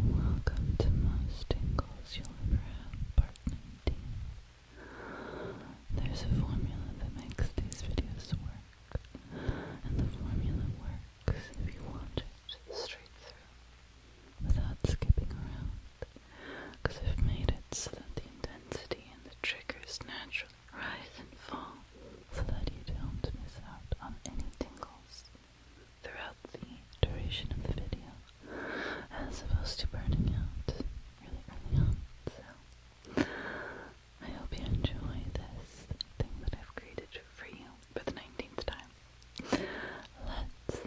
Welcome to most tingles you'll ever have, part 19. There's a formula that makes these videos work, and the formula works if you watch it straight through, without skipping around, because I've made it so that the intensity and the triggers naturally rise and fall so that you don't miss out on any tingles. Throughout the duration of the video, as opposed to burning out really early on. So, I hope you enjoy this thing that I've created for you for the 19th time. Let's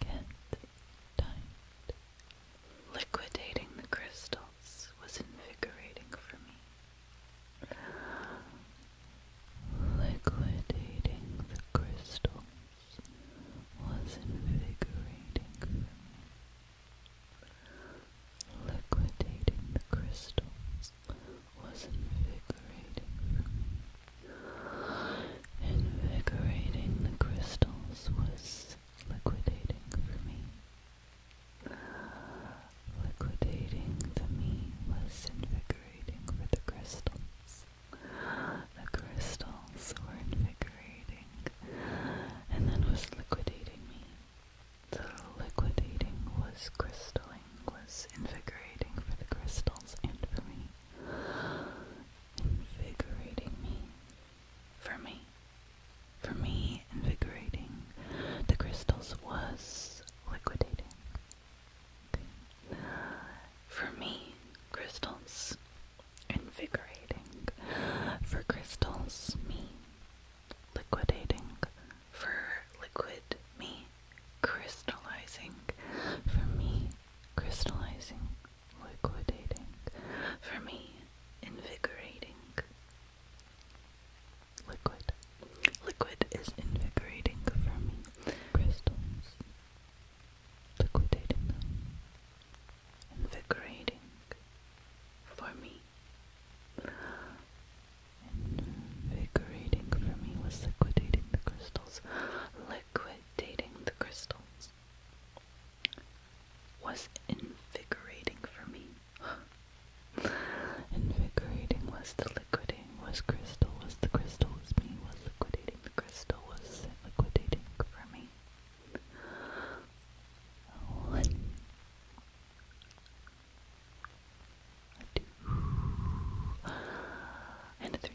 get timed. Liquidating the crystal else was invigorating for me. Liquidating the crystals was invigorating for me. Liquidating the crystals was invigorating Invigorating the crystals was liquidating for me. Liquidating the meat was invigorating for the crystals. The crystals were invigorating, and then was liquidating me. The liquidating was crystalline, was invigorating for the crystals and for me. Invigorating me, for me. For me, invigorating. The crystals was liquidating. For me, crystals invigorating. For crystals, me liquidating. For liquid, me crystallizing. For me, crystallizing, liquidating. For me, invigorating. Liquid. Liquid is invigorating for me. Crystals. Liquidating Invigorating for me. Invigorating for me was liquidating the crystals. Liquidating the crystals was invigorating for me. invigorating was the liquidating, was crystal, was the crystal, was me, was liquidating, the crystal was liquidating for me. Oh, one, two, and a three.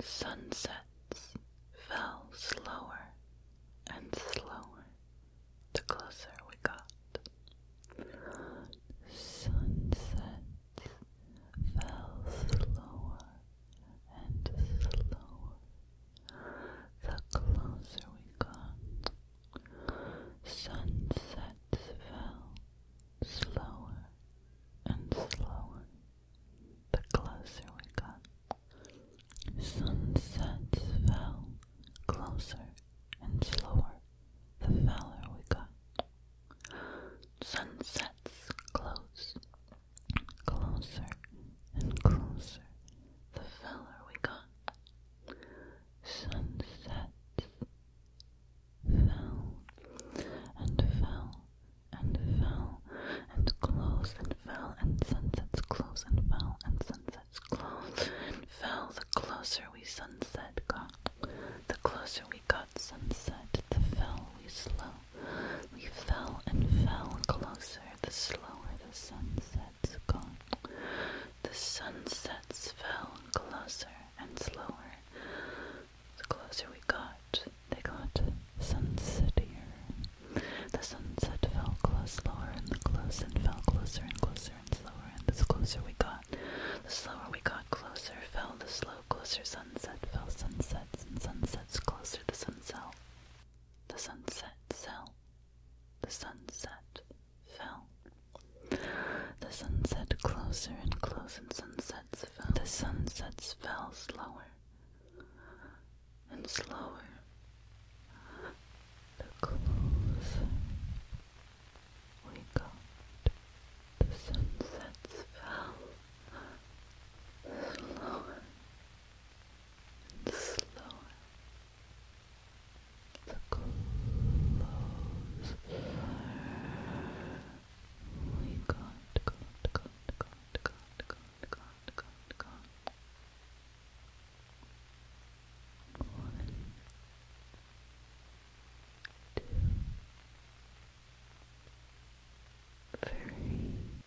Sunsets fell slower and slower the closer we got. Sunsets fell slower and slower the closer we got. Sunsets fell slower and slower the closer we got. Sunsets fell closer and slower the fouler we got. Sunsets close Closer and closer the feller we got. Sunsets fell and fell and fell and close and fell and sunsets close and fell and sunsets close and fell. The closer we sunset got, the closer we got sunset, the feller we slow. We fell and fell closer the slower the sunsets gone. The sunsets fell closer and slower. The closer we got, they got sunsetier. The sunset fell close, slower, and the close, and fell closer and closer and slower. And the closer we got, the slower we got closer fell the slow, closer sunset fell sunsets and sunsets closer the sun fell. The sunset cell. The sunset fell. The sunset closer and closer sunsets fell. The sunsets fell slower and slower. The closer we got, the sunsets fell slower and slower. So close. We got, got, got, got, got, got, got, got, got. One, two, very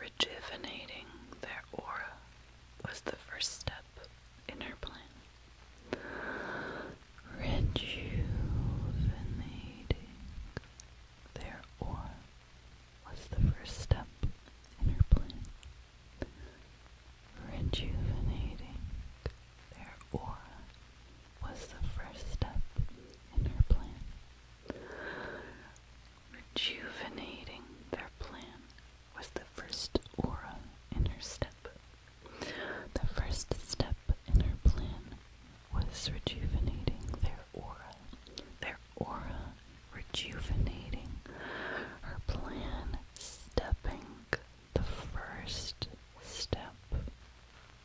Rejuvenating their aura was the first step in her plan. Rejuvenating their ore was the first step in her plan. Rejuvenating their aura was the first step in her plan. Rejuvenating their plan was the first aura in her step. The first step in her plan was rejuvenating their aura. Their aura rejuvenating. Her plan stepping the first step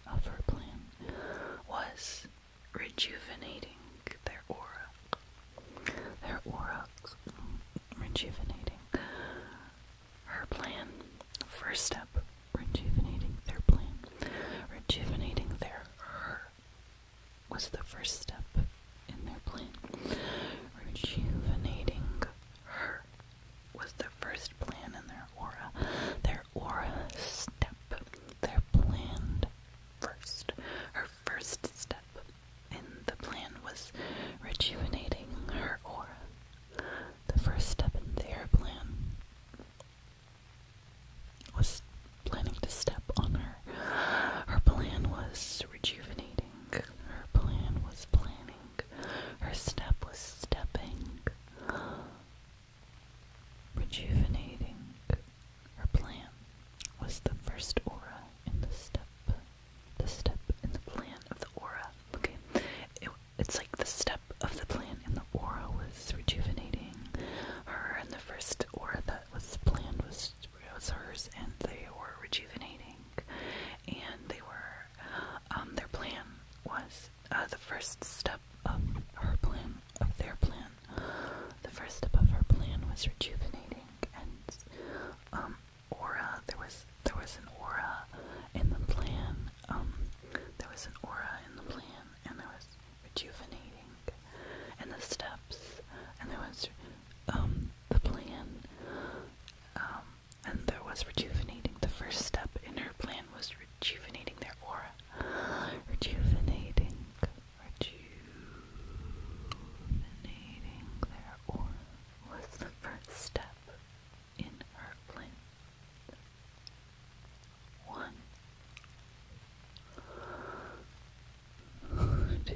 of her plan was rejuvenating their aura. Their aura rejuvenating. Her plan. First step, rejuvenating their plan. Rejuvenating their her was the first step in their plan. Rejuvenating her was the first plan in their aura. Their aura step. Their plan first. Her first step in the plan was rejuvenating her aura. The first step in their plan was planning to step on her. Her plan was rejuvenating. Her plan was planning. Her step was stepping. Rejuvenating. Her plan was the first aura in the step the step in the plan of the aura. Okay, it's like the step of the plan in the aura was rejuvenating her, and the first aura that was planned was was hers, and they were rejuvenating, and they were um, their plan was uh, the first step of her plan of their plan. The first step of her plan was rejuvenating, and um, aura. There was there was an aura in the plan. Um, there was an aura in the plan, and there was rejuvenating in the steps, and there was um the plan. Um, and there was rejuvenating. The first step in her plan was rejuvenating their aura. Rejuvenating, rejuvenating their aura was the first step in our plan. One, two, three.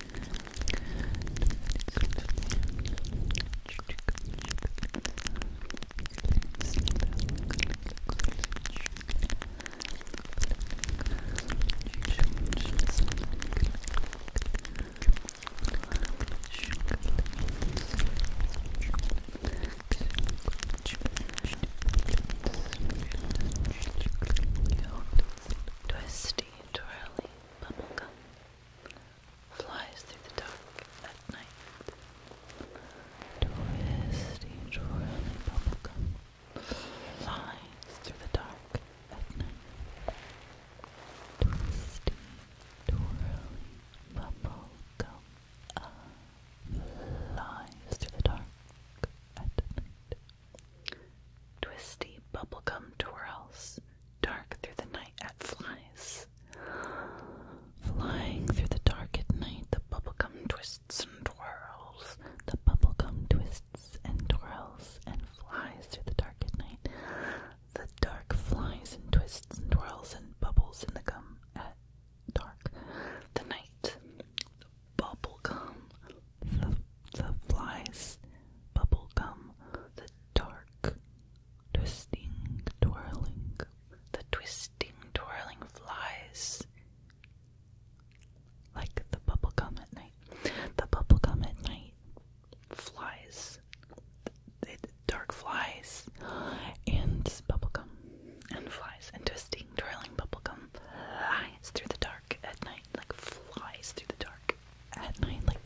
Twisty Twirly Bubblegum flies through the dark at night. Twist each bubblegum flies through the dark at night. Twisty, twirling bubblegum flies through the dark at night. Twisty bubblegum twirls dark through the night at flies. Flying through the dark at night, the bubblegum twists and twirls. The bubblegum twists and twirls and flies through the dark at night. The dark flies and twists and twirls and bubbles in the gum at dark. The night, the bubblegum, the flies, bubblegum, the dark, twisting, twirling, the twisting, twirling flies. Like the bubblegum at night. The bubblegum at night flies. The dark flies and bubblegum and flies and twisting, twirling bubblegum flies through the dark at night. Like flies through the dark dark at night. Like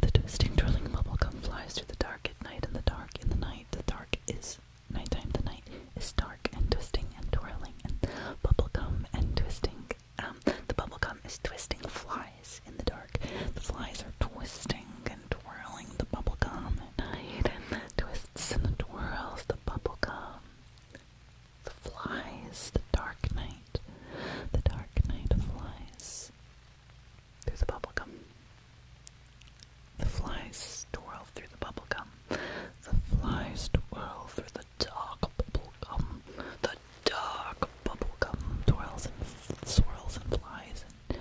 the twisting, twirling bubblegum flies through the dark at night, in the dark in the night. The dark is nighttime. The night is dark and twisting and twirling and bubblegum and twisting. Um, the bubblegum is twisting flies in the dark. The flies are twisting and twirling the bubblegum at night, and the twists and the twirls the bubblegum. The flies, the dark night, the dark night flies through the bubblegum. The flies twirl through the bubblegum. The flies twirl through the dark bubblegum. The dark bubblegum twirls and swirls and flies and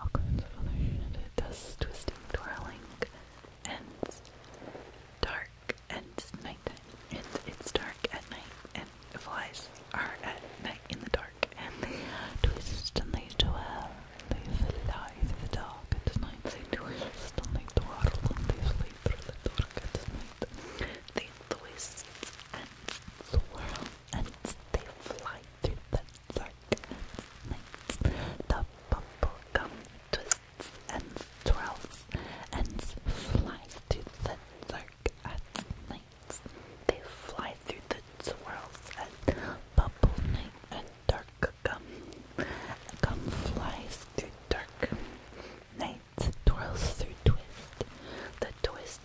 all kinds of other shit. It does twisting, twirling, and dark dark and it's nighttime. And it's dark at night and the flies are at night in the dark and they twist and they twirl and they fly through the dark at night. They twist and they twirl and they fly through the dark at night. They twist and swirl and they fly through the dark at night. The bubble gum twist cuts and twirls and flies through the dark at night. They fly through the swirls and bubble night and dark gum. Gum flies through dark night, twirls through twist. The twists,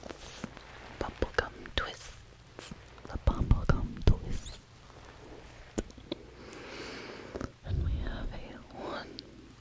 bubblegum twists, the bubblegum twists. And we have a one,